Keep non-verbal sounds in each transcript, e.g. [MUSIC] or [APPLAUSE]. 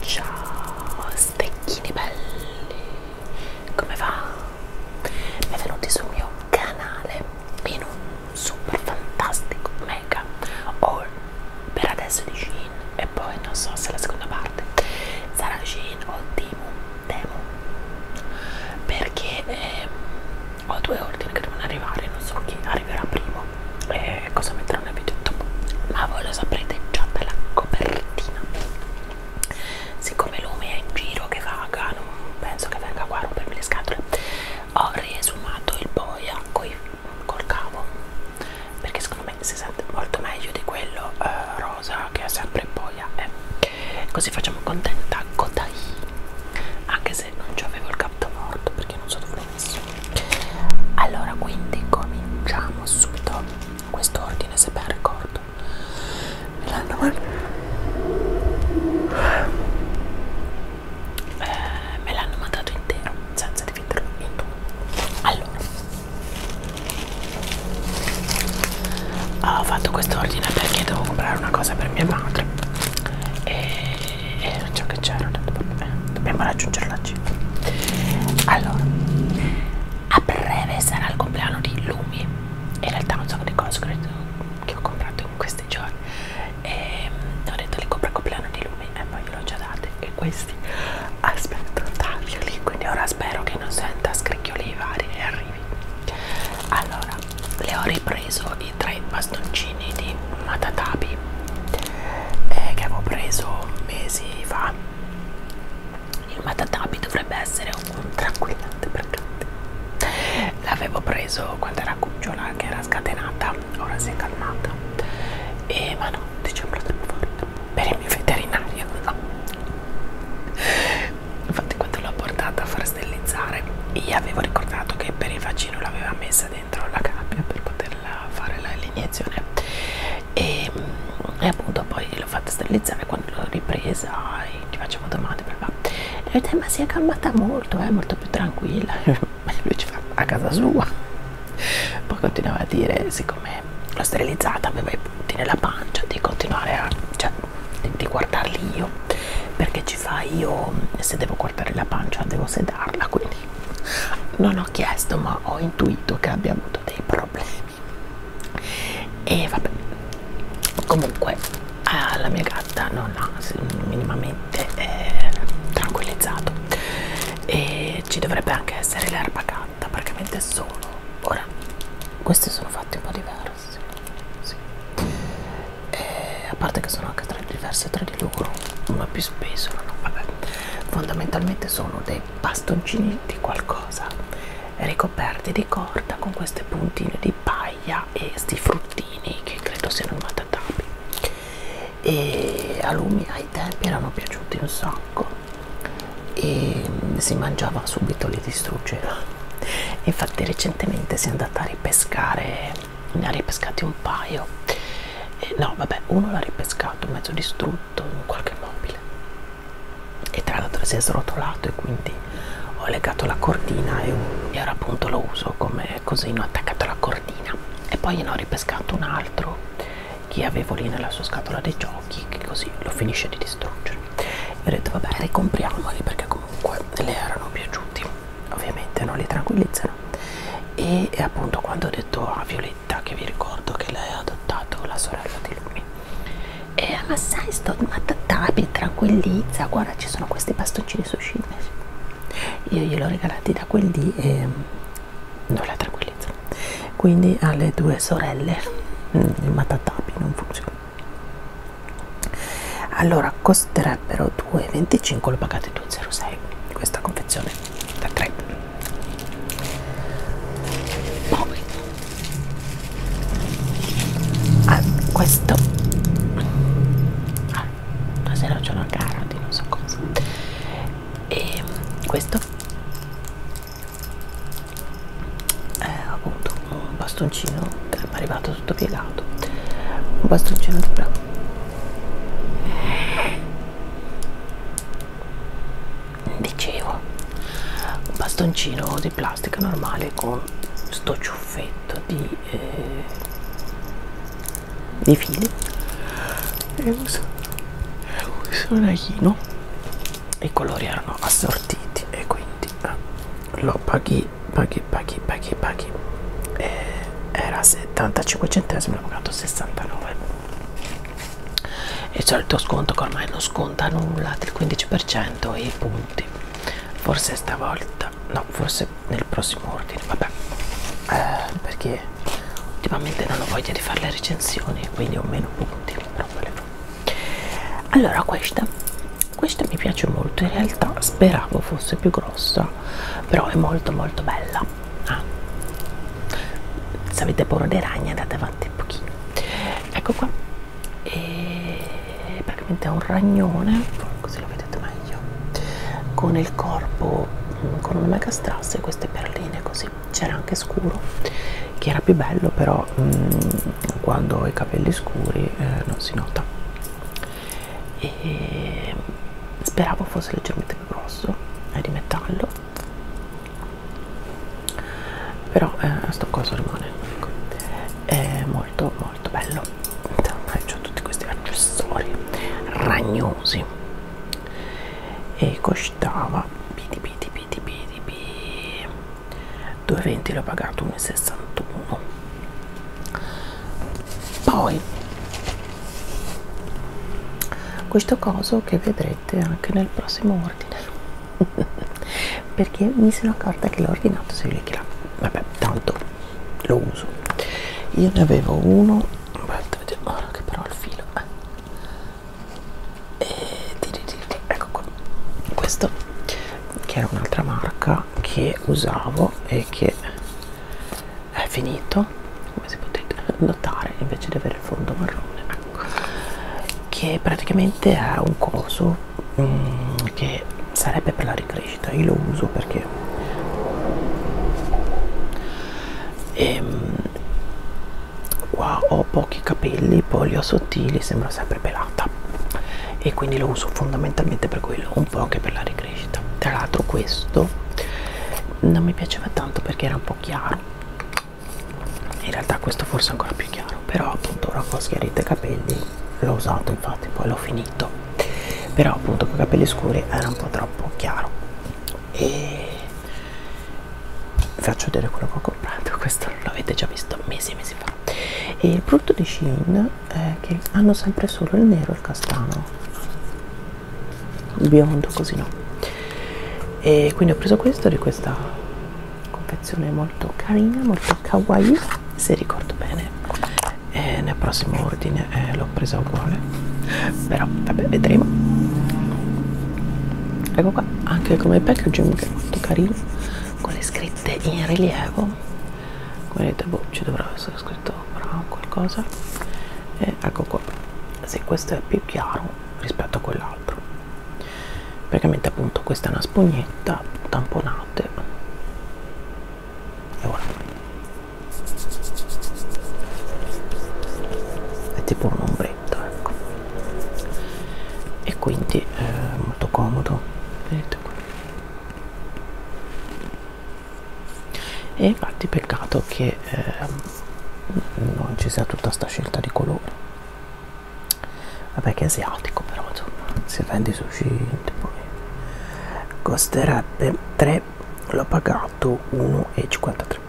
Ciao stecchini belli, come va? Benvenuti sul mio canale in un super fantastico mega all per adesso di Shin e poi non so se la seconda parte sarà Shin o Temu, Temu perché eh, ho due ordini che devono arrivare non so chi arriverà primo e cosa metterò nel video dopo ma voi lo saprete già dalla copertina siccome Lumi è in giro che vaga non penso che venga qua a rompermi le scatole ho riesumato il boia coi col cavo perché secondo me si sente molto meglio di quello eh, rosa che è sempre in boia eh. così facciamo contenta Kotai anche se non ci avevo il capto morto perché non so dove l'ho messo allora quindi cominciamo subito questo ordine se ben ricordo me l'hanno eh, mandato intero senza dividerlo in due allora ho fatto quest'ordine perché devo comprare una cosa per mia madre e, e ciò che c'era dobbiamo raggiungere la cifra allora a breve sarà il compleanno di Lumi in realtà non so che cose credo che ho comprato in questi giorni e ehm, ho detto li compro il compleanno di Lumi eh, ma io l'ho già date e questi aspetto taglioli quindi ora spero che non senta scricchioli vari e arrivi allora le ho ripreso i tre bastoncini di matatabi eh, che avevo preso mesi fa il matatabi dovrebbe essere un tranquillante perché l'avevo preso quando era cucciola che era scatenata ora si è calmata e ma no dicembre del morto per il mio veterinario no. infatti quando l'ho portata a far sterilizzare io avevo ricordato che per il vaccino l'aveva messa dentro la gabbia per poterla fare l'iniezione e, e appunto poi l'ho fatta sterilizzare quando l'ho ripresa e ti facevo domande per e vedete ma si è calmata molto è eh, molto più tranquilla lui ci fa a casa sua poi continuava a dire siccome l'ho sterilizzata aveva i punti nella pancia di continuare a cioè, di, di guardarli io perché ci fa io se devo guardare la pancia devo sedarla quindi non ho chiesto ma ho intuito che abbia avuto dei problemi e vabbè comunque eh, la mia gatta non ha minimamente eh, tranquillizzato e ci dovrebbe anche essere l'erba gatta praticamente solo ora questi sono fatti un po' diversi sì. e, a parte che sono anche tra, diverse tra di loro uno è più speso no? Vabbè. fondamentalmente sono dei bastoncini di qualcosa ricoperti di corda con queste puntine di paglia e sti fruttini che credo siano matatabi e a lui ai tempi erano piaciuti un sacco e mm, si mangiava subito, li distruggeva infatti recentemente si è andata a ripescare ne ha ripescati un paio e no vabbè uno l'ha ripescato mezzo distrutto in qualche mobile e tra l'altro si è srotolato e quindi ho legato la cordina e, e ora appunto lo uso come cosino attaccato alla cordina e poi ne ho ripescato un altro che avevo lì nella sua scatola dei giochi che così lo finisce di distruggere e ho detto vabbè ricompriamoli perché comunque le erano piaciuti ovviamente non li tranquillizzano e, e appunto quando ho detto a Violetta che vi ricordo che lei ha adottato la sorella di lui e eh, ma sai sto matattabi tranquillizza guarda ci sono questi bastoncini sushi io gliel'ho regalati da quel lì e non la tranquillizza quindi alle due sorelle mm, il matatapi non funziona allora costerebbero 2,25 lo pagate 2,06 questa confezione da 3 poi ah, questo ah, stasera c'è una gara di non so cosa e questo è eh, appunto un bastoncino che mi è arrivato tutto piegato un bastoncino di brown dicevo un bastoncino di plastica normale con sto ciuffetto di, eh, di fili e uso, uso un aiuto i colori erano assortiti e quindi eh, lo paghi paghi paghi paghi paghi e eh, era 75 centesimi l'ho pagato 69 e c'è il tuo sconto che ormai non sconta nulla del 15% e i punti forse stavolta no forse nel prossimo ordine vabbè eh, perché perché ultimamente non ho voglia di fare le recensioni quindi ho meno punti però volevo. allora questa questa mi piace molto in realtà speravo fosse più grossa però è molto molto bella ah. se avete paura dei ragni andate avanti un pochino ecco qua e praticamente è un ragnone così lo vedete meglio con il corpo mm, con una mega strass e queste perline così c'era anche scuro che era più bello però mh, mm, quando ho i capelli scuri eh, non si nota e speravo fosse leggermente più grosso è eh, di metallo però eh, sto coso rimane ecco. è molto molto bello ho tutti questi accessori ragnosi e costava pidi pidi pidi pidi pidi 2,20 l'ho pagato 1,61 poi questo coso che vedrete anche nel prossimo ordine [LAUGHS] perché mi sono accorta che l'ho ordinato se li là vabbè tanto lo uso io ne avevo uno aspetta vediamo ora che però il filo eh e ecco qua questo che era un'altra marca che usavo e che è finito come si potete notare invece di avere il fondo marrone ecco, che praticamente è un coso um, che sarebbe per la ricrescita io lo uso perché e, ehm, qua ho pochi capelli poi li ho sottili sembra sempre pelata e quindi lo uso fondamentalmente per quello un po' anche per la ricrescita tra l'altro questo non mi piaceva tanto perché era un po' chiaro in realtà questo forse è ancora più chiaro però appunto ora ho schiarito i capelli l'ho usato infatti poi l'ho finito però appunto con i capelli scuri era un po' troppo chiaro e vi faccio vedere quello che ho comprato [LAUGHS] questo l'avete già visto mesi e mesi fa e il brutto di Shein è che hanno sempre solo il nero e il castano il biondo così no e quindi ho preso questo di questa confezione molto carina molto kawaii se ricordo bene e nel prossimo ordine eh, l'ho presa uguale però vabbè vedremo ecco qua anche come packaging che è molto carino con le scritte in rilievo come vedete boh, ci dovrà essere scritto bravo, qualcosa e ecco qua se questo è più chiaro rispetto a quell'altro praticamente appunto questa è una spugnetta tamponate e voilà è tipo un ombre perfetto ecco e quindi è eh, molto comodo vedete qui e infatti peccato che eh, non ci sia tutta sta scelta di colore vabbè che è asiatico però insomma si vende sushi poi costerebbe 3 l'ho pagato 1,53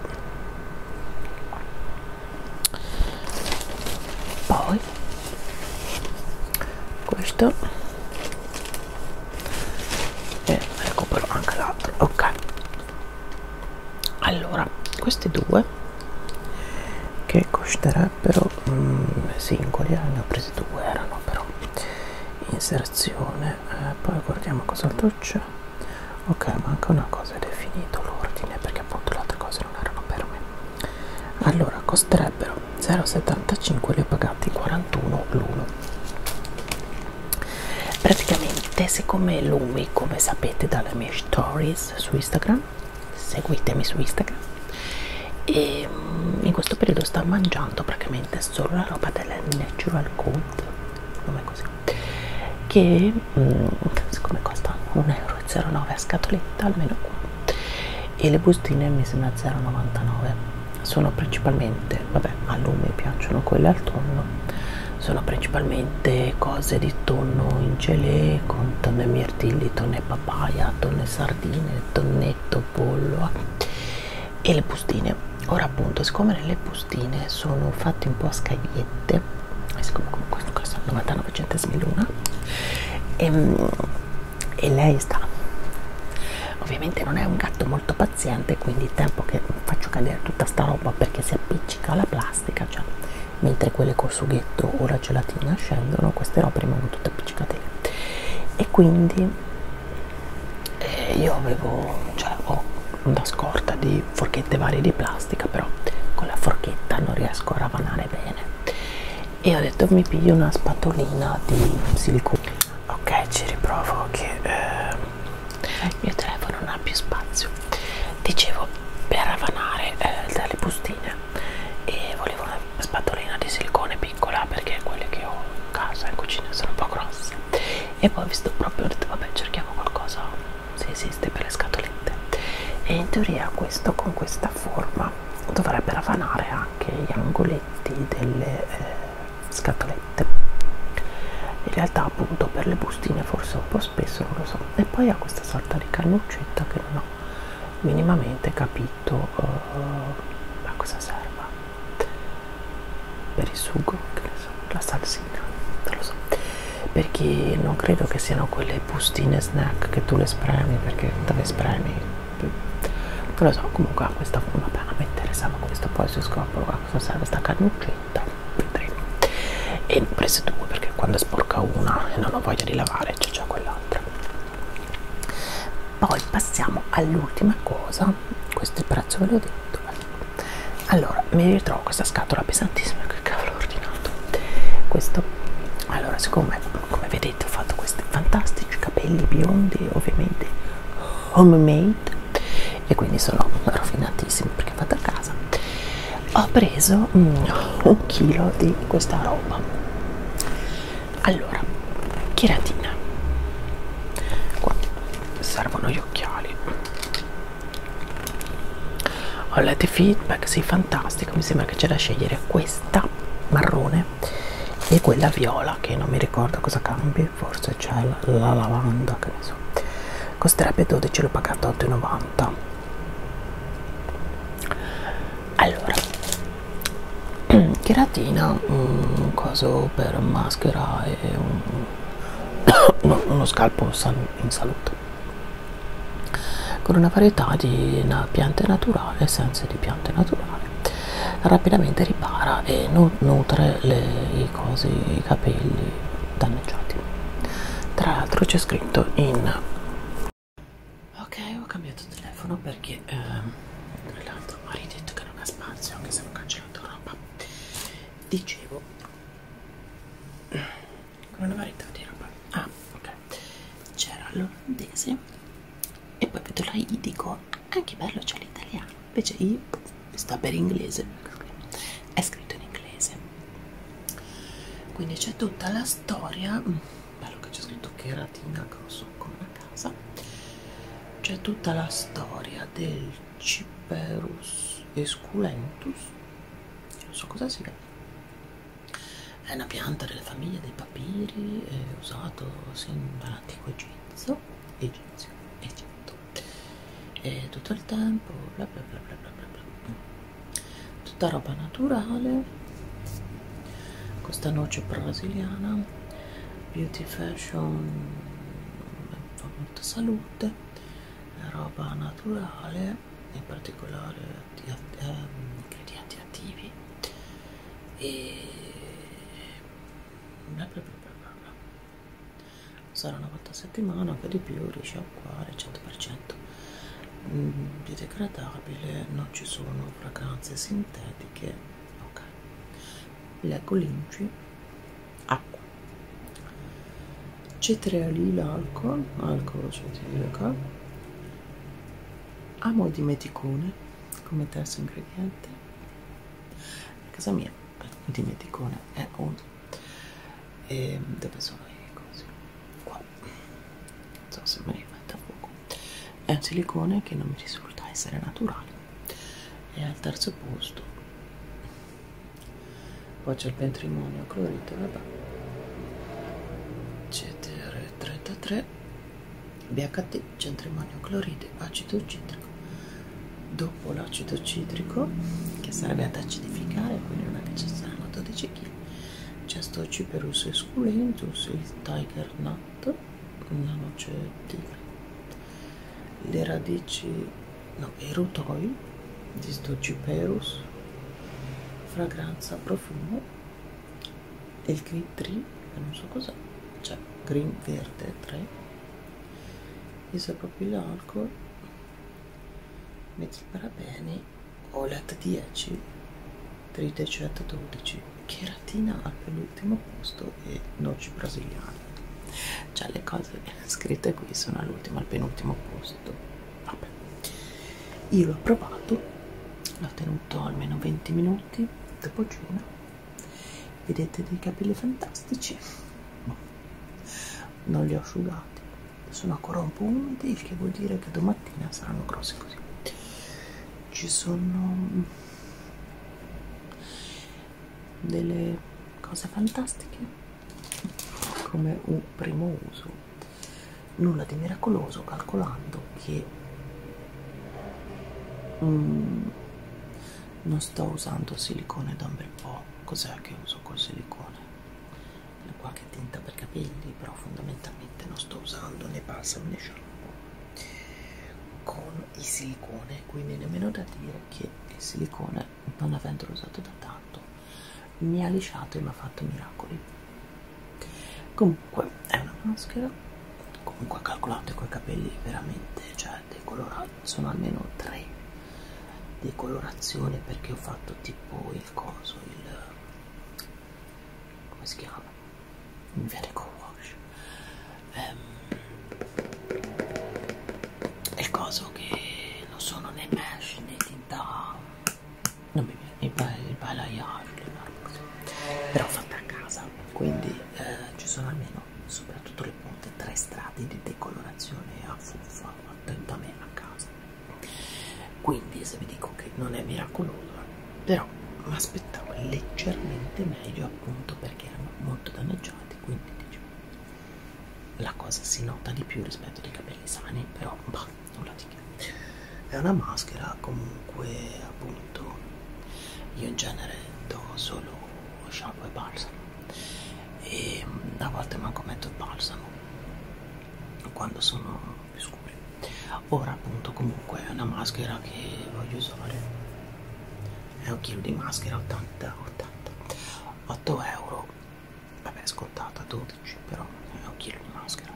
poi questo e recupero anche l'altro ok allora questi due che costerebbero mm, singoli eh, ne ho presi due erano però inserzione eh, poi guardiamo cos'altro c'è vero ok manca una cosa ed è finito l'ordine perché appunto le altre cose non erano per me allora costerebbero 0,75 li ho pagati 41 l'uno praticamente siccome lui come sapete dalle mie stories su instagram seguitemi su instagram e ehm, in questo periodo sta mangiando praticamente solo la roba della natural good non è così che mh, mm, siccome costa 1,09 euro a scatoletta almeno qua e le bustine mi sembra 0,99 sono principalmente vabbè a lume piacciono quelle al tonno sono principalmente cose di tonno in gelée con tonno e mirtilli tonno e papaya tonno e sardine tonnetto pollo eh. e le bustine ora appunto siccome nelle bustine bustine sono fatte un po' a scagliette eh, questo costa 99 centesimi l'una e, ehm, e lei sta ovviamente non è un gatto molto paziente quindi il tempo che faccio cadere tutta sta roba perché si appiccica alla plastica cioè mentre quelle col sughetto o la gelatina scendono queste robe rimangono tutte appiccicate lì e quindi eh, io avevo cioè ho una scorta di forchette varie di plastica però con la forchetta non riesco a ravanare bene e ho detto mi piglio una spatolina di silicone ok ci riprovo che eh, il mio telefono non ha più spazio dicevo per ravanare eh, dalle bustine e volevo una spatolina di silicone piccola perché quelle che ho in casa in cucina sono un po' grosse e poi visto proprio ho detto vabbè cerchiamo qualcosa se esiste per le scatolette e in teoria questo con questa forma dovrebbe ravanare anche gli angoletti delle eh, scatolette in realtà appunto per le bustine forse un po' spesso non lo so e poi ha questa sorta di cannuccetta che non ho minimamente capito uh, a cosa serva per il sugo che ne la salsina non lo so perché non credo che siano quelle bustine snack che tu le spremi perché dove spremi non lo so comunque a questa vabbè a me interessava questo poi si scopro a cosa serve sta carnuccetta vedremo e ne ho prese due perché quando è sporca una e non ho voglia di lavare c'è già quell'altra poi passiamo all'ultima cosa questo è il prezzo ve l'ho detto allora mi ritrovo questa scatola pesantissima che cavolo ho ordinato questo allora siccome come vedete ho fatto questi fantastici capelli biondi ovviamente homemade e quindi sono rovinatissimi perché fatta a casa ho preso mm, un chilo di questa roba allora chiratina qua servono gli occhiali ho letto i feedback sì fantastico mi sembra che c'è da scegliere questa marrone e quella viola che non mi ricordo cosa cambi forse c'è la, la lavanda che ne so costerebbe 12 l'ho pagato 8,90 allora cheratina [CLEARS THROAT] mm, un coso per maschera e un, [COUGHS] uno scalpo in salute con una varietà di piante naturali, essenze di piante naturali, rapidamente ripara e nutre le, i, cosi, i capelli danneggiati. Tra l'altro c'è scritto in... Ok, ho cambiato telefono perché... Ehm, l'altro mi ha detto che non ha spazio, anche se ho cancellato roba. Dicevo con una varietà di roba ah ok c'era l'olandese e poi vedo la I dico ah che bello c'è l'italiano invece I sta per inglese è scritto in inglese quindi c'è tutta la storia mm, bello che c'è scritto che ratina grosso come una casa c'è tutta la storia del Ciperus esculentus, non so cosa sia, è una pianta della famiglia dei papiri, è usato sin dall'antico Egizio, Egizio, Egitto, e tutto il tempo, bla bla bla bla bla bla bla, tutta roba naturale, questa noce brasiliana, beauty fashion, fa molta salute, roba naturale in particolare di, um, ingredienti attivi e bla bla bla bla bla. Sarà una volta a settimana che di più riesce a acquare 100% mm, biodegradabile, non ci sono fragranze sintetiche. Ok, leggo l'inci acqua cetreolilo alcol alcolo cetriolico amo di meticone come terzo ingrediente a casa mia di meticone è uno e ehm, dove sono i cosi qua non so se me li metta poco è un silicone che non mi risulta essere naturale e al terzo posto poi c'è il patrimonio clorito vabbè CTR33 BHT centrimonio cloride acido citrico dopo l'acido citrico che sarebbe ad acidificare quindi non è che ci saranno 12 kg c'è sto ciperus esculentus il tiger nut una noce tigre le radici no, erutoi, disdocyperus, fragranza, profumo, e il green tree, che non so cos'è, cioè green verde 3, isopropil alcol, metilparabeni, OLED 10, tritecet 12, cheratina al penultimo posto e noci brasiliane. Cioè le cose scritte qui sono all'ultimo, al penultimo posto vabbè io l'ho provato l'ho tenuto almeno 20 minuti dopo cena vedete dei capelli fantastici non li ho asciugati sono ancora un po' umidi il che vuol dire che domattina saranno grossi così ci sono delle cose fantastiche come un primo uso nulla di miracoloso calcolando che um, non sto usando silicone da un bel po' cos'è che uso col silicone qualche tinta per capelli però fondamentalmente non sto usando né balsamo né shampoo con il silicone quindi nemmeno da dire che il silicone non avendolo usato da tanto mi ha lisciato e mi ha fatto miracoli comunque è una maschera comunque calcolate coi capelli veramente cioè decolorati sono almeno tre di colorazione perché ho fatto tipo il coso il come si chiama il vertical wash um, il coso che non sono né mesh né di da non mi viene il palaiarlo però fatta a casa quindi eh, ci sono almeno soprattutto le punte tre strati di decolorazione a fuffa attenta a me a casa quindi se vi dico che non è miracolosa però mi aspettavo leggermente meglio appunto perché erano molto danneggiati quindi dicevo la cosa si nota di più rispetto ai capelli sani però bah, nulla di che è una maschera comunque appunto io in genere do solo shampoo e balsamo e a volte manco metto il balsamo quando sono più scuri ora appunto comunque è una maschera che voglio usare è un chilo di maschera 80 80 8 euro vabbè scontata 12 però è un chilo di maschera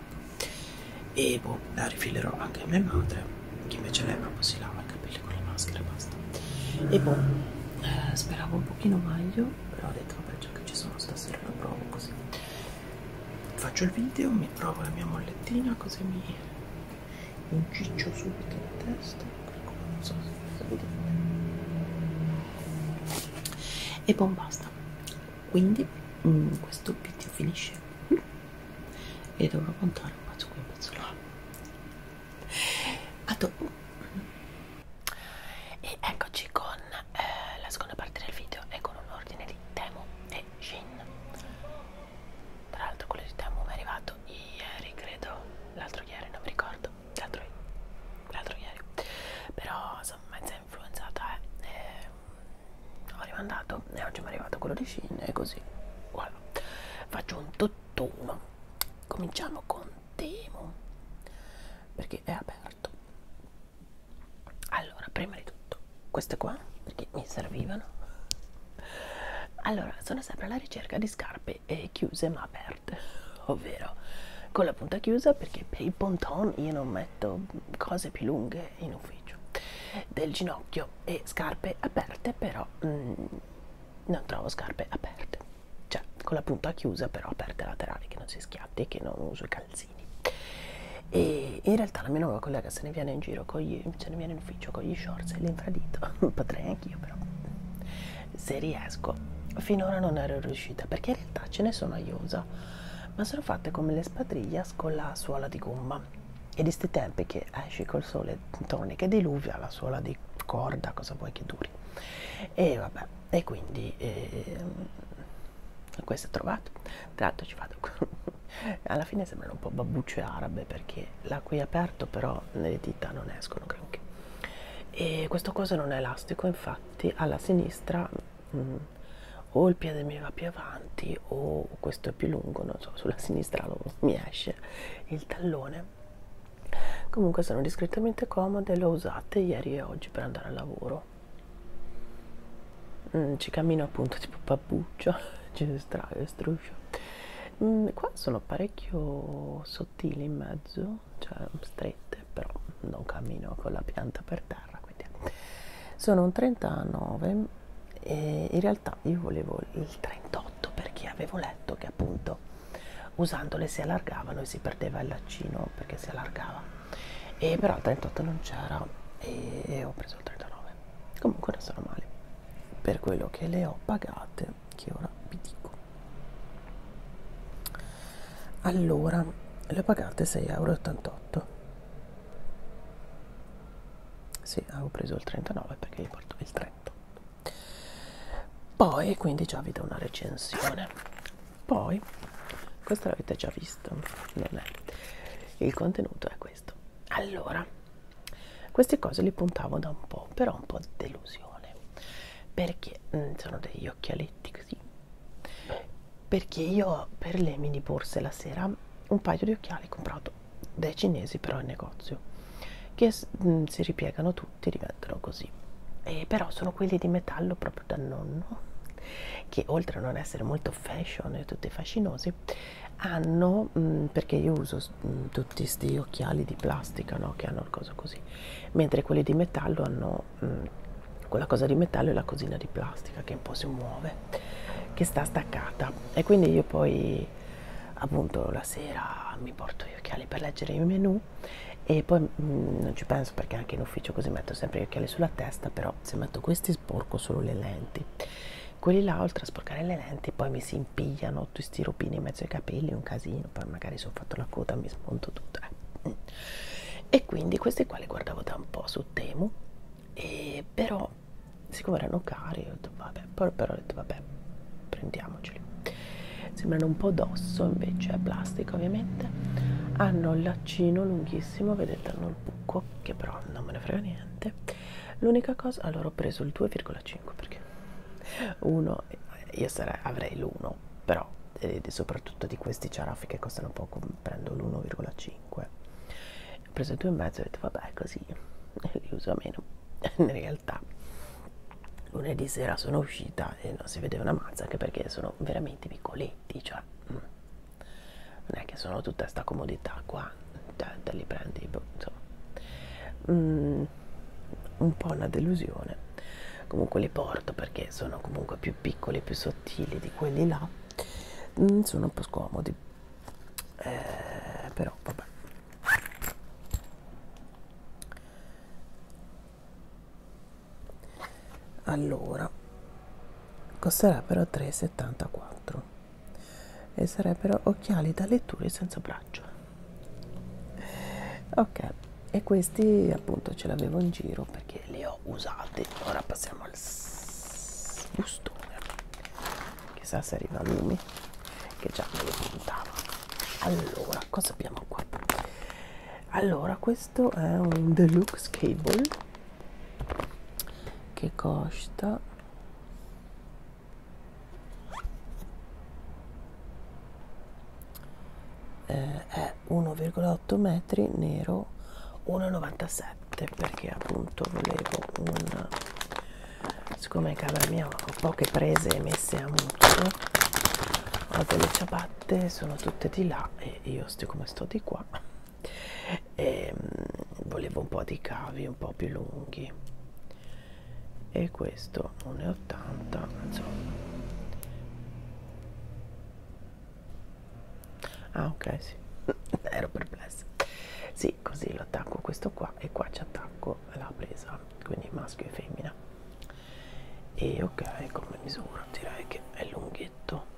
e boh, la rifilerò anche a mia madre che invece lei proprio si lava i capelli con le maschere e basta e boh, eh, speravo un pochino meglio però ho detto vabbè già che ci sono stasera lo provo così faccio il video, mi provo la mia mollettina così mi inciccio subito la testa ecco, non so se vedete e buon basta quindi mh, mm, questo video finisce qui e dovrò contare un pezzo qui un pezzo là a dopo e eccoci con eh, la seconda parte del video e con un ordine di Temu e Shin tra l'altro quello di Temu mi è arrivato ieri credo l'altro ieri non mi ricordo l'altro, l'altro ieri però sono mezza influenzata eh. e, ehm, ho rimandato e oggi mi è arrivato quello di Shin e così voilà. faccio un tutt'uno cominciamo con Temu perché è aperto allora prima di tutto queste qua perché mi servivano allora sono sempre alla ricerca di scarpe eh, chiuse ma aperte ovvero con la punta chiusa perché per il bon ton io non metto cose più lunghe in ufficio del ginocchio e scarpe aperte però mm, non trovo scarpe aperte cioè con la punta chiusa però aperte laterali che non si schiatti e che non uso i calzini e in realtà la mia nuova collega se ne viene in giro con gli, se ne viene in ufficio con gli shorts e l'infradito [LAUGHS] potrei anch'io però se riesco finora non ero riuscita perché in realtà ce ne sono a iosa ma sono fatte come le spadriglias con la suola di gomma e di sti tempi che esci col sole tonica e diluvia la suola di corda cosa vuoi che duri e vabbè e quindi eh, questo è trovato tra l'altro ci vado [LAUGHS] alla fine sembrano un po' babbucce arabe perché là qui è aperto però le dita non escono granché e questo coso non è elastico infatti avanti alla sinistra mh, mm, o il piede mi va più avanti o questo è più lungo non so sulla sinistra lo, mi esce il tallone comunque sono discretamente comode le ho usate ieri e oggi per andare al lavoro mm, ci cammino appunto tipo babbuccio [LAUGHS] ci struscio mm, qua sono parecchio sottili in mezzo no? cioè strette, però non cammino con la pianta per terra. Quindi. Sono un 39 e in realtà io volevo il 38 perché avevo letto che appunto usandole si allargavano e si perdeva il laccino perché si allargava e però il 38 non c'era e, e ho preso il 39 comunque non sono male per quello che le ho pagate che ora vi dico allora le pagate 6,88 euro sì avevo ah, preso il 39 perché gli porto il 38 poi quindi già vi do una recensione poi questo l'avete già visto non è il contenuto è questo allora queste cose le puntavo da un po' però un po' di delusione perché mh, mm, sono degli occhialetti così perché io per lei mi porse la sera un paio di occhiali comprato dai cinesi però in negozio che mh, mm, si ripiegano tutti diventano così e però sono quelli di metallo proprio da nonno che oltre a non essere molto fashion e tutti fascinosi hanno mh, mm, perché io uso mh, mm, tutti questi occhiali di plastica no? che hanno il coso così mentre quelli di metallo hanno hanno mm, mh, quella cosa di metallo e la cosina di plastica che un po' si muove, che sta staccata. E quindi io poi, appunto, la sera mi porto gli occhiali per leggere i menu e poi mh, mm, non ci penso perché anche in ufficio così metto sempre gli occhiali sulla testa, però se metto questi sporco solo le lenti. Quelli là, oltre a sporcare le lenti, poi mi si impigliano tutti sti rupini in mezzo ai capelli, un casino, poi magari se ho fatto la coda mi smonto tutta. Eh e quindi questi qua li guardavo da un po' su Temu e però siccome erano cari ho detto vabbè poi però ho detto vabbè prendiamoceli sembrano un po' d'osso invece è plastica ovviamente hanno il laccino lunghissimo vedete hanno il buco che però non me ne frega niente l'unica cosa allora ho preso il 2,5 perché uno io sarei, avrei l'1 no però ed eh, soprattutto di questi ciaraffi che costano poco prendo l'1,5 ho preso 2,5 e mezzo ho detto vabbè così [LAUGHS] li uso meno [LAUGHS] in realtà lunedì sera sono uscita e non si vedeva una mazza anche perché sono veramente piccoletti cioè mm. non è che sono tutta sta comodità qua te, te li prendi boh, insomma mm, un po' una delusione comunque li porto perché sono comunque più piccoli più so sottili di quelli là mm, sono un po' scomodi eh, però vabbè allora costerebbero 3,74 e sarebbero occhiali da letture senza braccio ok e questi appunto ce l'avevo in giro perché li ho usati ora passiamo al bustone chissà se arriva a lumi che già me lo puntava allora cosa abbiamo qua allora questo è un deluxe cable che costa eh, è 1,8 metri nero 1,97 perché appunto volevo un siccome in camera mia ho poche prese messe a mutuo ho delle ciabatte sono tutte di là e io siccome sto di qua e ehm, volevo un po' di cavi un po' più lunghi e questo 1,80 insomma ah ok sì [LAUGHS] ero perplessa sì così lo attacco questo qua e qua ci attacco la presa quindi maschio e femmina e ok come misura direi che è lunghetto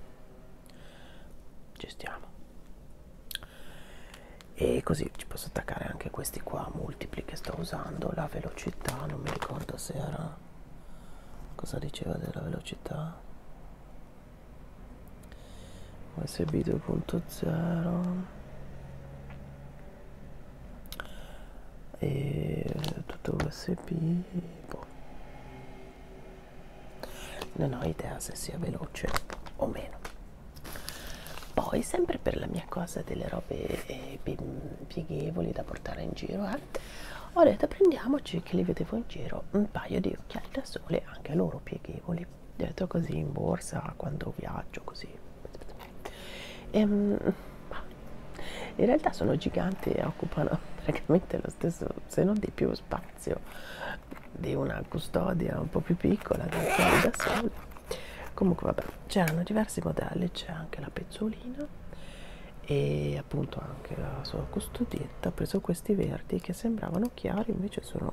ci stiamo e così ci posso attaccare anche questi qua multipli che sto usando la velocità non mi ricordo se era cosa diceva della velocità usb 2.0 e tutto usb boh. non ho idea se sia veloce o meno poi sempre per la mia cosa delle robe eh, pieghevoli da portare in giro ho detto prendiamoci che li vedevo in giro un paio di occhiali da sole anche a loro pieghevoli detto così in borsa quando viaggio così ehm, in realtà sono giganti e occupano [LAUGHS] praticamente lo stesso se non di più spazio di una custodia un po' più piccola da sola comunque vabbè c'erano diversi modelli c'è anche la pezzolina e appunto anche la sua custodietta ha preso questi verdi che sembravano chiari invece sono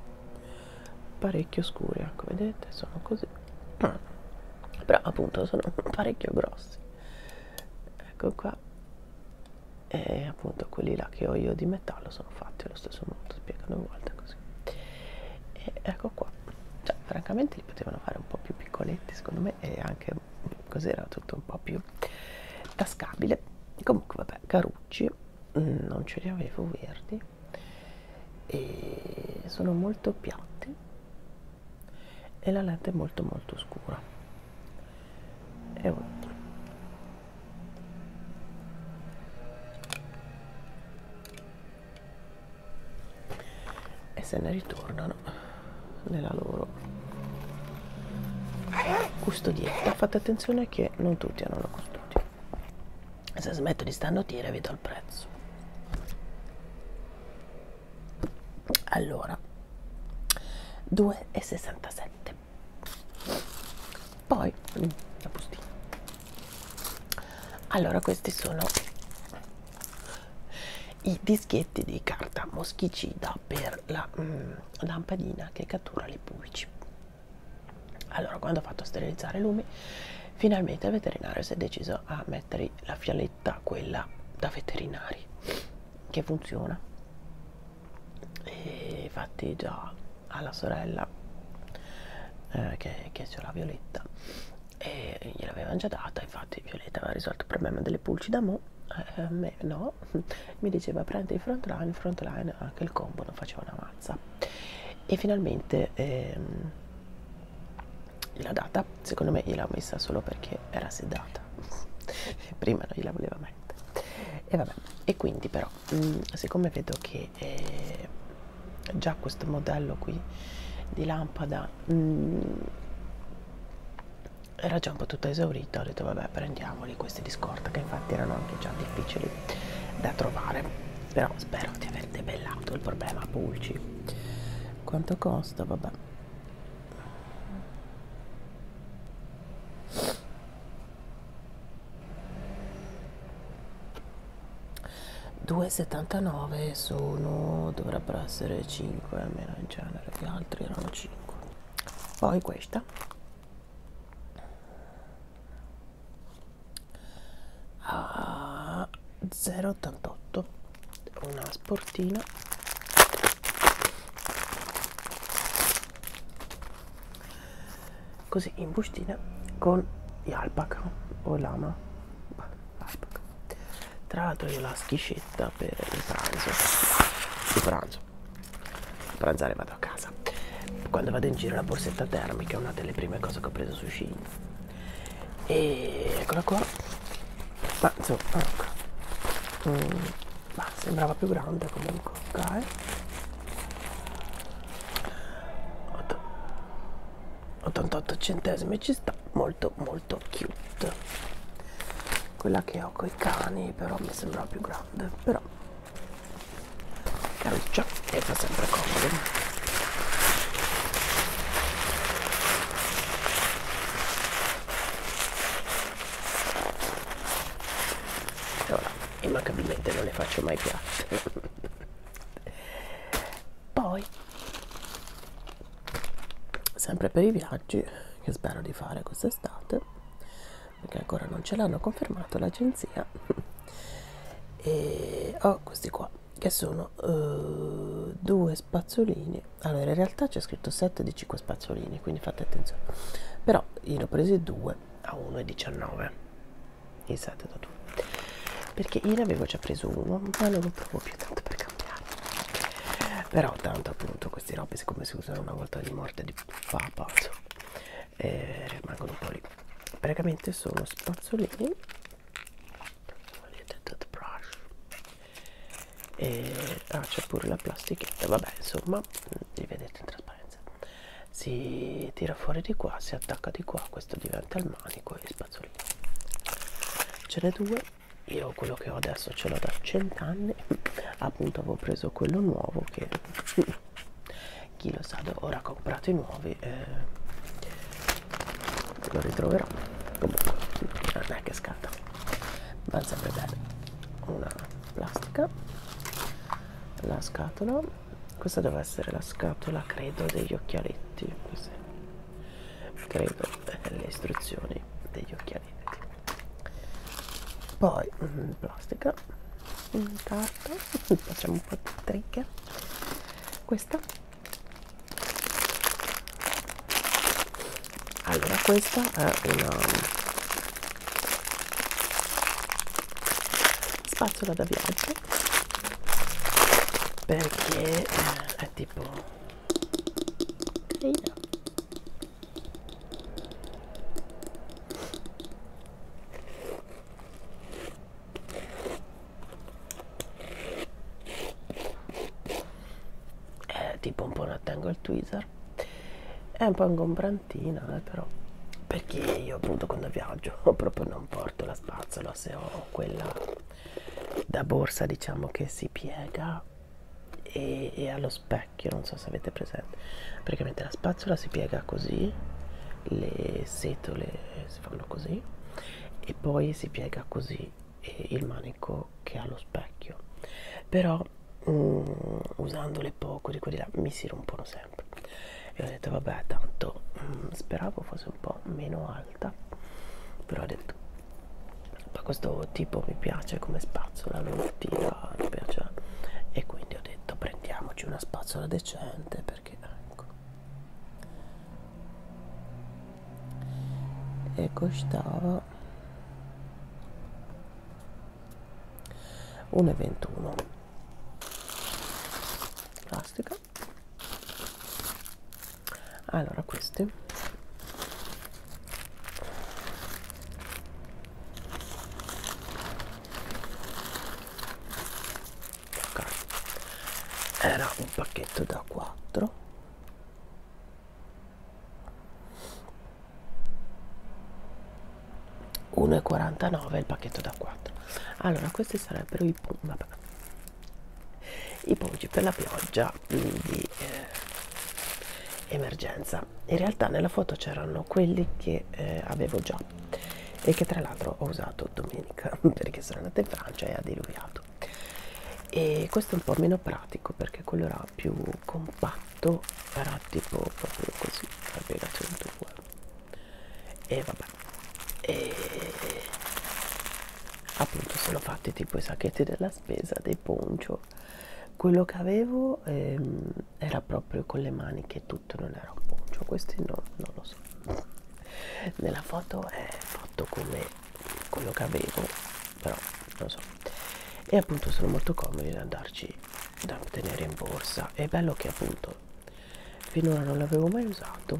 parecchio scuri ecco vedete sono così ah. però appunto sono [LAUGHS] parecchio grossi ecco qua e appunto quelli là che ho io di metallo sono fatti allo stesso modo spiegano una volta così e ecco qua cioè francamente li potevano fare un po' più piccoletti secondo me e anche cos'era tutto un po' più tascabile comunque vabbè carucci mm, non ce li avevo verdi e sono molto piatti e la lente è molto molto scura e un altro e se ne ritornano nella loro custodietta fate attenzione che non tutti hanno la custodia se smetto di stannotire vi do il prezzo allora 2,67 poi la bustina allora questi sono i dischetti di carta moschicida per la mm, lampadina che cattura le pulci. Allora, quando ho fatto sterilizzare i lumi, finalmente il veterinario si è deciso a mettere la fialetta, quella da veterinari, che funziona. E infatti già alla sorella eh, che, che c'è la Violetta e gliel'avevano già data, infatti Violetta aveva risolto il problema delle pulci da mo eh, me, no, [LAUGHS] mi diceva prendi il front line, il front line, anche il combo non faceva una mazza. E finalmente ehm, la data, secondo me gliel'ho messa solo perché era sedata, [LAUGHS] prima non gliela voleva mettere. E vabbè, e quindi però, mh, mm, siccome vedo che eh, già questo modello qui di lampada mh, mm, era già un po' tutto esaurito ho detto vabbè prendiamoli questi di scorta che infatti erano anche già difficili da trovare però spero di aver debellato il problema pulci quanto costa vabbè $2,79 sono dovrebbero essere 5 almeno in genere gli altri erano 5 poi questa a 0,88 una sportina così in bustina con gli alpaca o lama tra l'altro io la schiscetta ricetta per il pranzo il pranzo pranzare vado a casa quando vado in giro la borsetta termica è una delle prime cose che ho preso su Shein e eccola qua ma insomma ecco. mm, ma sembrava più grande comunque ok 88 centesimi ci sta molto molto cute quella che ho coi cani però mi sembra più grande però caruccia e fa sempre comodo Ora, immancabilmente non le faccio mai piatte poi sempre per i viaggi che spero di fare quest'estate perché ancora non ce l'hanno confermato l'agenzia [LAUGHS] e ho oh, questi qua che sono uh, due spazzolini allora in realtà c'è scritto 7 di 5 spazzolini quindi fate attenzione però io ne ho presi due a 1,19 il 7 da 2 perché io ne avevo già preso uno ma non lo trovo più tanto per cambiare però tanto appunto queste robe siccome si usano una volta di morte di papa eh, rimangono un po' lì praticamente sono spazzolini e ah, c'è pure la plastichetta vabbè insomma li vedete in trasparenza si tira fuori di qua si attacca di qua questo diventa il manico e spazzolino ce ne due io quello che ho adesso ce l'ho da cent'anni appunto avevo preso quello nuovo che [LAUGHS] chi lo sa ora comprato i nuovi eh, lo ritroverò comunque non è che scatta va sempre bene una plastica la scatola questa deve essere la scatola credo degli occhialetti così credo eh, le istruzioni degli occhialetti vecchia direi. poi in mm, plastica in carta [LAUGHS] facciamo un po' di trigger questa allora questa è una spazzola da viaggio perché eh, è tipo è eh, tipo un po' una tangle tweezer è un po' ingombrantina eh, però perché io appunto quando viaggio [LAUGHS] proprio non porto la spazzola se ho quella da borsa diciamo che si piega e, e allo specchio specchio non so se avete presente praticamente la spazzola si piega così le setole si fanno così e poi si piega così il manico che ha lo specchio però mm, usandole poco di quelli là mi si rompono sempre e ho detto vabbè tanto mm, speravo fosse un po' meno alta però ho detto ma questo tipo mi piace come spazzola non tira mi piace e quindi ho detto prendiamoci una spazzola decente perché ecco e costava 1,21 plastica allora questi Okay. Era un pacchetto da 4 1,49 il pacchetto da 4 allora questi sarebbero i vabbè. i ponci per la pioggia di eh, emergenza realtà in realtà nella foto c'erano quelli che eh, avevo già e che tra l'altro ho usato domenica [LAUGHS] perché sono andata in Francia e ha diluviato e questo è un po' meno pratico perché quello era più compatto era tipo proprio così almeno 102 e vabbè e appunto sono fatti tipo i sacchetti della spesa dei poncio quello che avevo ehm, era proprio con le maniche e tutto non era un poncio questi no, non lo so nella foto è eh, fatto come quello che avevo però non so e appunto sono molto comodi da andarci da tenere in borsa è bello che appunto finora non l'avevo mai usato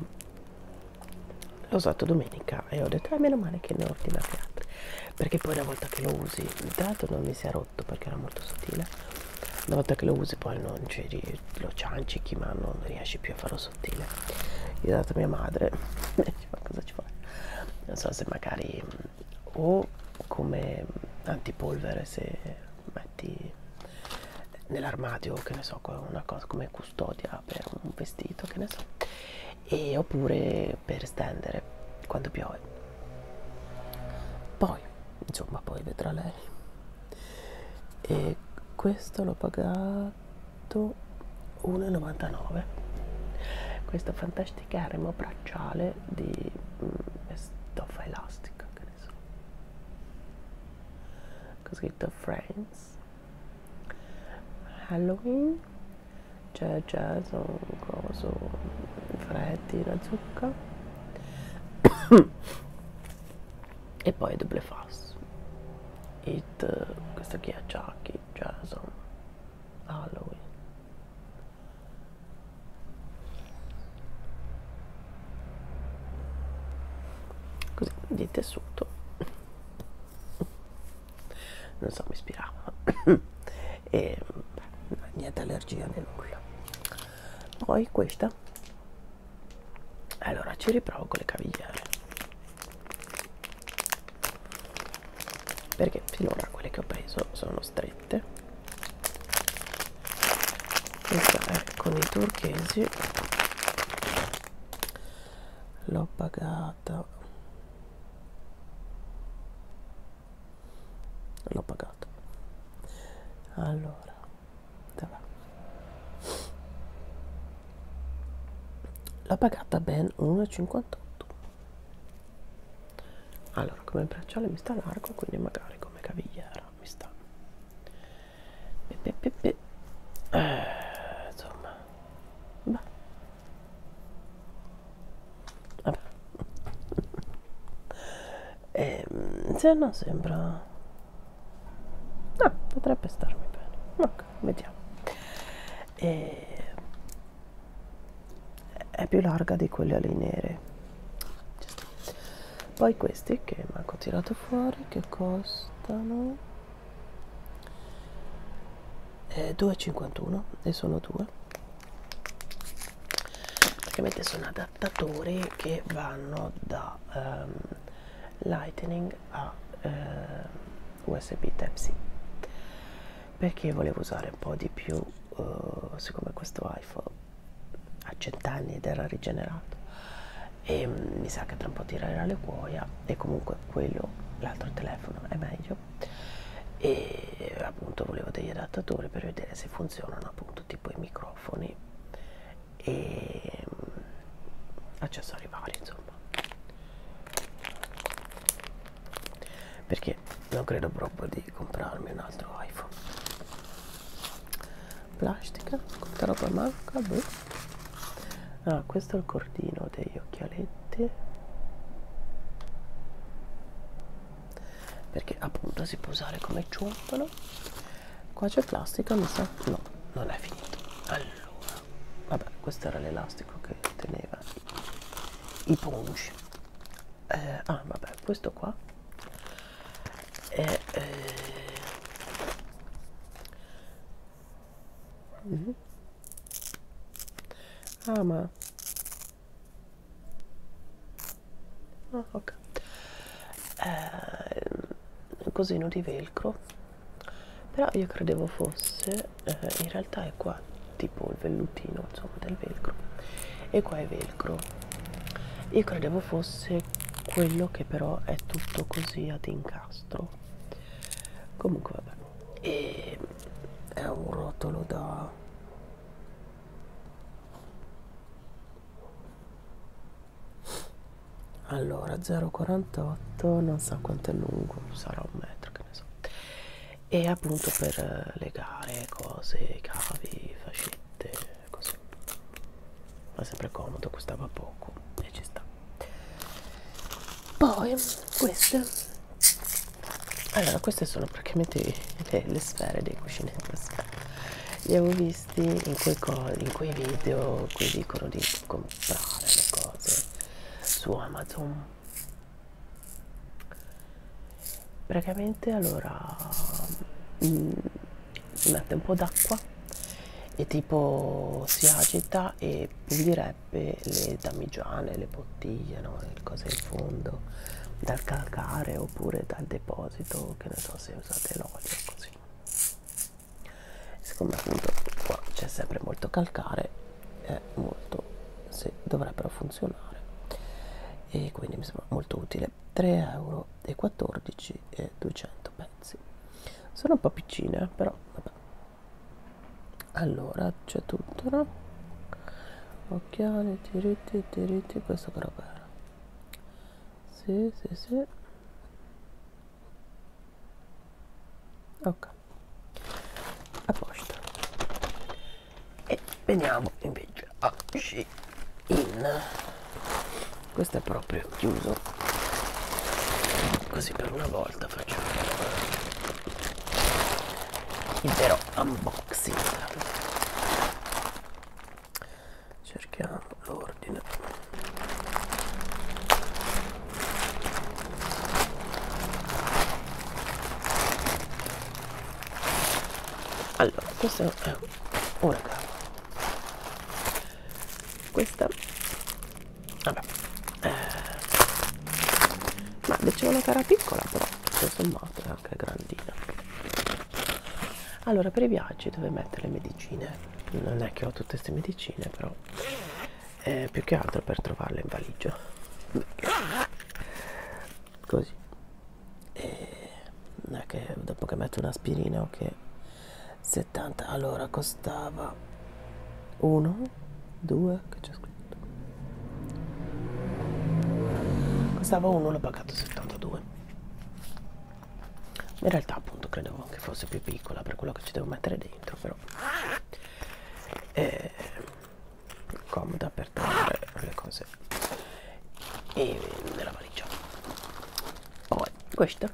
l'ho usato domenica e ho detto ah meno male che ne ho ordinati altri perché poi una volta che lo usi tra l'altro non mi si è rotto perché era molto sottile una volta che lo usi poi non ci lo ciancichi ma non riesci più a farlo sottile io ho dato a mia madre [LAUGHS] ma cosa ci fai non so se magari o come antipolvere se metti nell'armadio che ne so una cosa come custodia per un vestito che ne so e oppure per stendere quando piove poi insomma poi vedrà lei e questo l'ho pagato 1,99 questo fantasticaremo bracciale di mh, mm, stoffa elastica che ne so scritto friends halloween c'è jazz, un coso, freddi, la zucca [COUGHS] e poi Double Fass It, questo qui è Chucky, Jason, Halloween così di tessuto non so mi ispirava [COUGHS] e niente allergia né nulla poi questa allora ci riprovo con le cavigliere perché finora quelle che ho preso sono strette questa è con i turchesi l'ho pagata l'ho pagato allora vabbè. l'ho pagata ben 1,58 allora come bracciale mi sta largo quindi magari come cavigliera mi sta pe pe pe pe. Eh, insomma beh e, ehm, se non sembra ah, potrebbe starmi bene ok vediamo e, ehm, è più larga di quelle ali nere poi questi che manco tirato fuori che costano eh, 2,51 e sono due praticamente sono adattatori che vanno da um, lightning a uh, ehm, usb type c perché volevo usare un po' di più uh, siccome questo iphone a cent'anni ed era rigenerato e um, mi sa che tra un po' tirerà le cuoia e comunque quello l'altro telefono è meglio e appunto volevo degli adattatori per vedere se funzionano appunto tipo i microfoni e mm, accessori vari insomma perché non credo proprio di comprarmi un altro iPhone plastica quanta roba manca boh. ah questo è il cordino degli occhialetti perché appunto si può usare come ciuffolo qua c'è plastica mi sa no non è finito allora vabbè questo era l'elastico che teneva i punch eh, ah vabbè questo qua è eh, Mm -hmm. Ah ma ah, ok eh, cosino di velcro però io credevo fosse eh, in realtà è qua tipo il vellutino insomma del velcro e qua è velcro io credevo fosse quello che però è tutto così ad incastro comunque vabbè e è un rotolo da allora 0,48 non so quanto è lungo sarà un metro che ne so e appunto per legare cose cavi fascette così ma sempre comodo costava poco e ci sta poi queste allora queste sono praticamente le, le sfere dei cuscinetti li avevo visti in quei, in quei video in cui dicono di comprare le cose su Amazon praticamente allora si mm, mette un po' d'acqua e tipo si agita e pulirebbe le damigiane le, bottigliano le cose in fondo dal calcare oppure dal deposito che ne so se usate l'olio così siccome appunto qua c'è sempre molto calcare è molto se dovrebbero funzionare e quindi mi sembra molto utile 3,14 euro e 14 e 200 pezzi sono un po' piccine però vabbè allora c'è tutto no? occhiali diritti diritti questo però bello sì sì sì ok a posto e veniamo invece a sci in questo è proprio chiuso così per una volta facciamo il vero unboxing cerchiamo l'ordine allora questo è una gamba questa vabbè eh, ma dicevo una cara piccola però tutto sommato è eh anche grandina allora per i viaggi dove mettere le medicine non è che ho tutte queste medicine però è eh, più che altro per trovarle in valigia così e non è che dopo che metto un'aspirina o okay, che 70 allora costava 1 2 che c'è scritto costava 1 l'ho pagato 72 in realtà appunto credevo che fosse più piccola per quello che ci devo mettere dentro però è eh, comoda per togliere le cose e nella valigia poi questa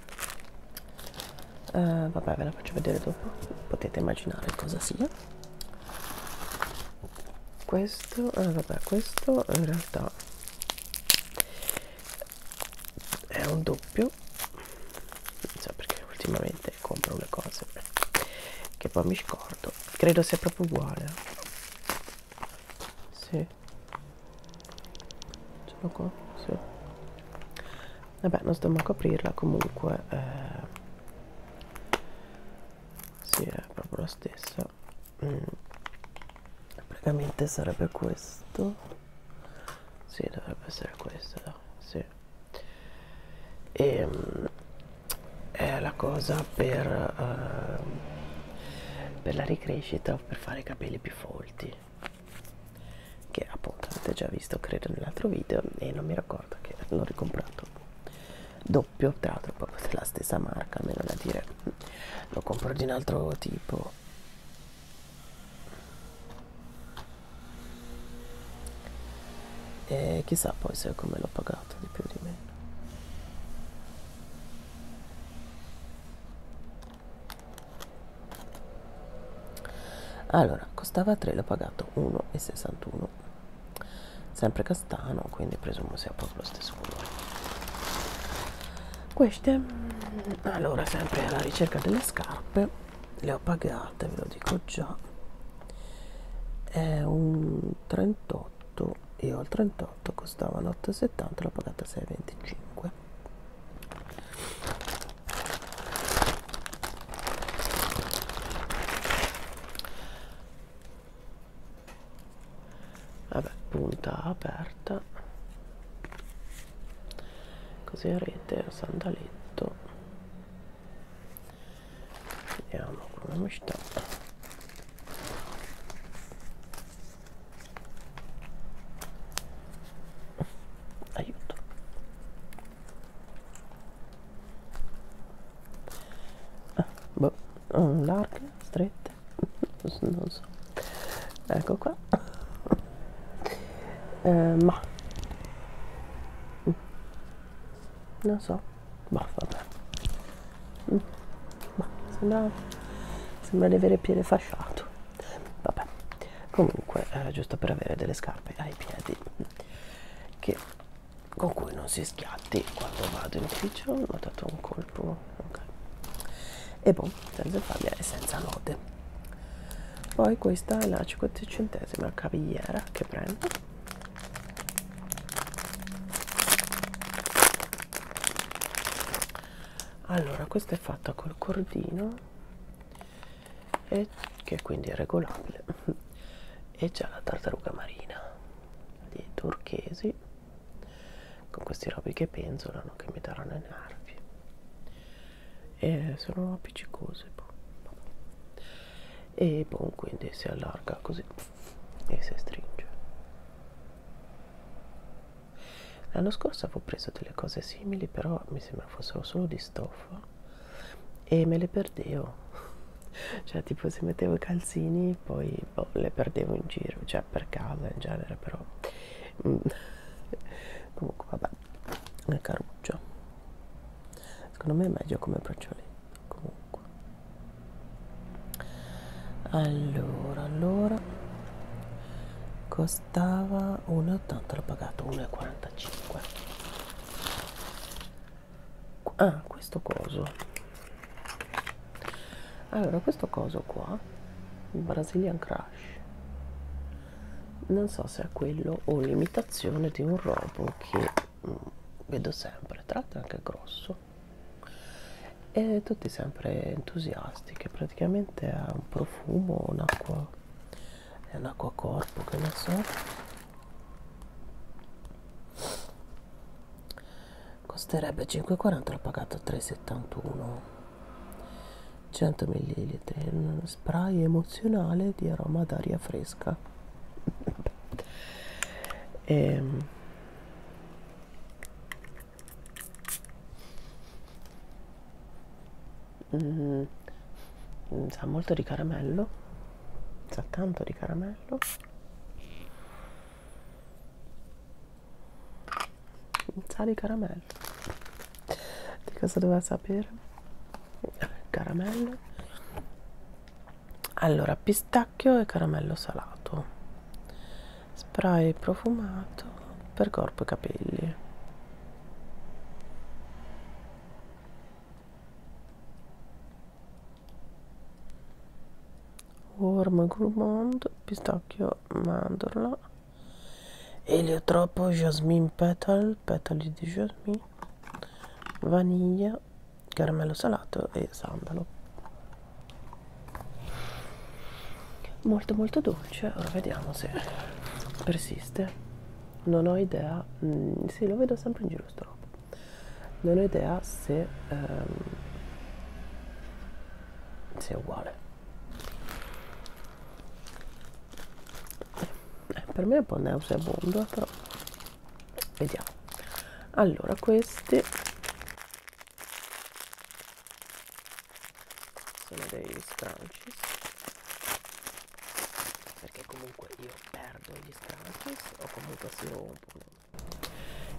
uh, vabbè ve la faccio vedere dopo potete immaginare cosa sia questo ah vabbè questo in realtà è un doppio non so perché ultimamente compro le cose che poi mi scordo credo sia proprio uguale sì sono qua sì. vabbè non sto manco a aprirla comunque eh, sì, è proprio la stessa. Mm. Praticamente sarebbe questo. Sì, dovrebbe essere questo. Sì. E mm, è la cosa per, uh, per la ricrescita per fare i capelli più folti. Che appunto avete già visto credo nell'altro video e non mi ricordo che l'ho ricomprato doppio tra l'altro proprio della stessa marca almeno da dire lo compro di un altro tipo e chissà poi se come l'ho pagato di più o di meno allora costava 3 l'ho pagato 1,61 bianco sempre castano quindi presumo sia proprio lo stesso colore queste mm, allora sempre alla ricerca delle scarpe le ho pagate ve lo dico già è un 38 io al 38 costavano 8,70 l'ho pagata 6,25 vabbè punta aperta così a rete sandaletto vediamo come sta aiuto ah, boh, oh, larghe, strette, non so, ecco qua, eh, ma non so, ma boh, vabbè, mm. ma sembra, sembra di avere piede fasciato, vabbè, comunque eh, giusto per avere delle scarpe ai piedi che con cui non si schiatti quando vado in Twitch ho notato un colpo ok e boh senza faglia e senza lode poi questa è la 50 centesima cavigliera che prendo allora questa è fatta col cordino e che quindi è regolabile [LAUGHS] e c'è la tartaruga marina di turchesi con questi robi che penzolano che mi daranno i nervi e sono appiccicose boh. e boh, quindi si allarga così e si stringe l'anno scorso avevo preso delle cose simili però mi sembra fossero solo di stoffa e me le perdevo cioè tipo se mettevo i calzini poi boh, le perdevo in giro cioè per caso in genere però mm. [LAUGHS] comunque vabbè è caruccio secondo me è meglio come braccioletto comunque allora allora costava 1,80 l'ho pagato 1,45 ah questo coso allora questo coso qua il Brazilian Crash non so se è quello o l'imitazione di un robot che mh, mm, vedo sempre tra l'altro anche grosso e tutti sempre entusiasti che praticamente ha un profumo un'acqua è un'acqua corpo che ne so costerebbe 5,40 l'ho pagato 3,71 100 ml spray emozionale di aroma d'aria fresca [LAUGHS] e, ehm. mm-hmm. mm, sa molto di caramello sa tanto di caramello sa di caramello di cosa doveva sapere eh, caramello allora pistacchio e caramello salato spray profumato per corpo e capelli Worm, gourmand, pistacchio, mandorla, eliotropo, jasmine petal, petali di jasmine, vaniglia, caramello salato e sandalo. Molto molto dolce, ora vediamo se persiste. Non ho idea, mm, sì lo vedo sempre in giro sto roba non ho idea se, um, se è uguale eh, per me è un po' nauseabondo però vediamo allora questi sono dei scrunchies perché comunque io perdo gli scrunchies o comunque si rompono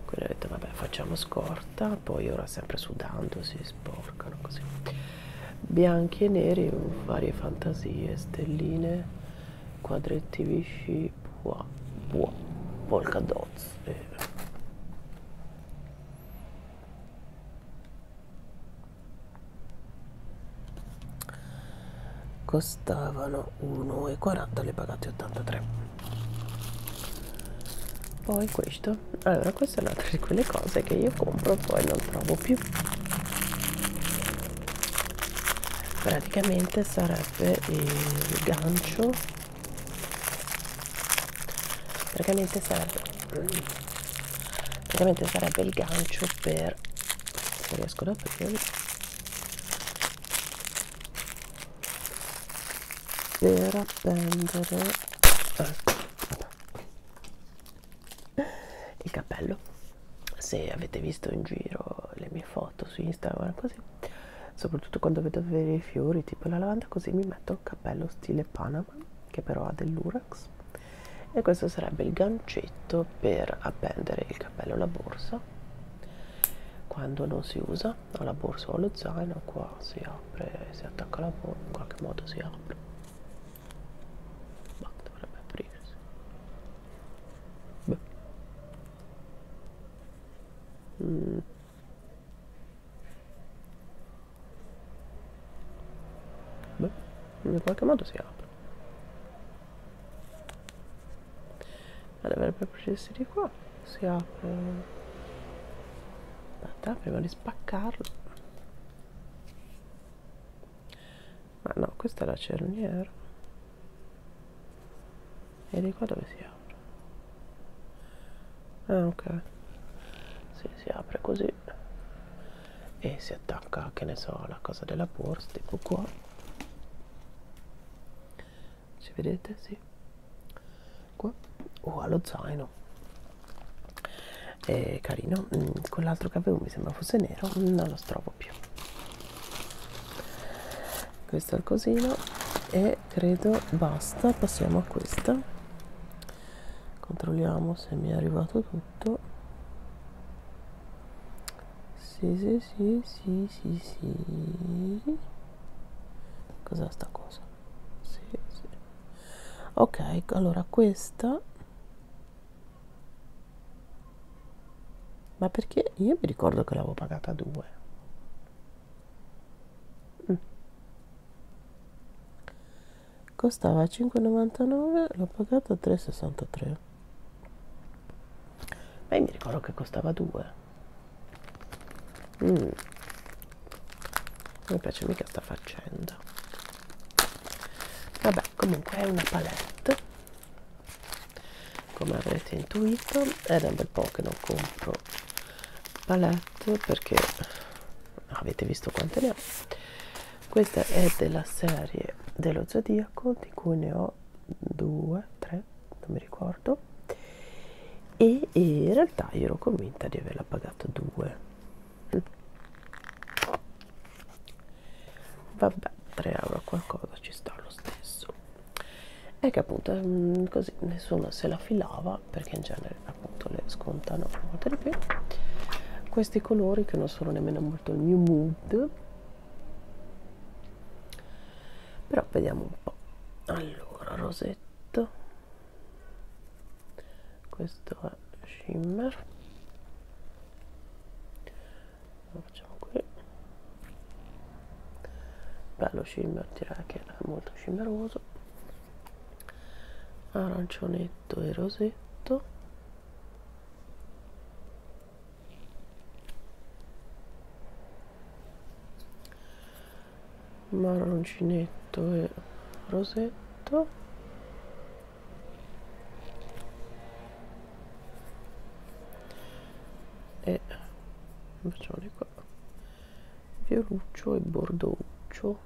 quindi ho detto vabbè facciamo scorta poi ora sempre sudando si sporcano così bianchi e neri varie fantasie stelline quadretti visci buah buah polka dots eh. costavano 1,40 le pagate 83 poi questo allora questa è un'altra di quelle cose che io compro e poi non trovo più praticamente sarebbe il gancio praticamente sarebbe praticamente sarebbe il gancio per se riesco ad aprire per appendere ecco, il cappello se avete visto in giro le mie foto su Instagram così soprattutto quando vedo avere i fiori tipo la lavanda così mi metto un cappello stile Panama che però ha dell'Urax e questo sarebbe il gancetto per appendere il cappello alla borsa quando non si usa ho la borsa o lo zaino qua si apre si attacca la borsa in qualche modo si apre ma dovrebbe aprirsi beh mm. beh in qualche modo si apre ma dovrebbe procedersi di qua si apre aspetta prima di spaccarlo ma no questa è la cerniera e di qua dove si apre ah ok si, si apre così e si attacca che ne so la cosa della borsa tipo qua ci vedete? Sì. Qua. Oh, allo zaino. È carino. Quell'altro mm, che avevo mi sembra fosse nero, non lo trovo più. Questo è il cosino e credo basta. Passiamo a questa. Controlliamo se mi è arrivato tutto. Sì, sì, sì, sì, sì, sì cos'è sta cosa? Sì, sì. ok allora questa ma perché io mi ricordo che l'avevo pagata 2 mm. costava 5,99 l'ho pagata 3,63 ma io mi ricordo che costava 2 Mm. Non mi piace mica sta faccenda. Vabbè, comunque è una palette. Come avrete intuito, è da un bel po' che non compro palette perché avete visto quante ne ho. Questa è della serie dello Zodiaco di cui ne ho due, tre, non mi ricordo ricordo e, e in realtà io ero convinta di averla pagata 2 vabbè 3 euro qualcosa ci sta lo stesso è che appunto mm, così nessuno se la filava perché in genere appunto le scontano molto di più questi colori che non sono nemmeno molto il mio mood però vediamo un po' allora rosetto questo è shimmer lo facciamo qui bello shimmer direi che è molto shimmeroso arancione e rosetto marroncinetto e rosetto e facciamone qua vioruccio e bordouccio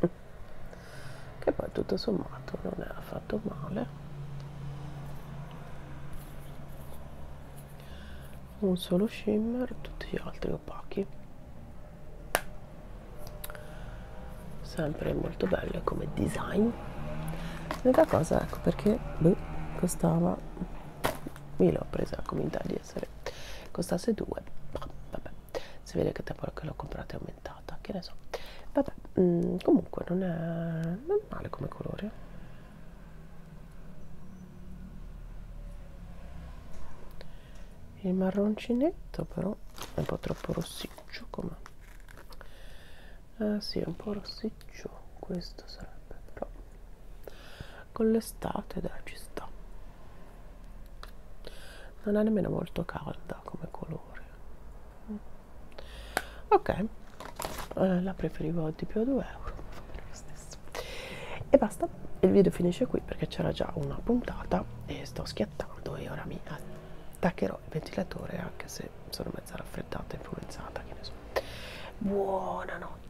che poi tutto sommato non è affatto male un solo shimmer tutti gli altri opachi sempre molto bello come design l'unica cosa ecco perché beh, costava mi l'ho presa come in di essere costasse 2 vabbè si vede che dopo che l'ho comprata è aumentata che ne so vabbè mh, mm, comunque non è, non è male come colore il marroncinetto però è un po' troppo rossiccio come ah sì è un po' rossiccio questo sarebbe però con l'estate dai ci sta non è nemmeno molto calda come colore ok la preferivo di più a 2 euro e basta il video finisce qui perché c'era già una puntata e sto schiattando e ora mi attaccherò il ventilatore anche se sono mezza raffreddata influenzata che ne so buonanotte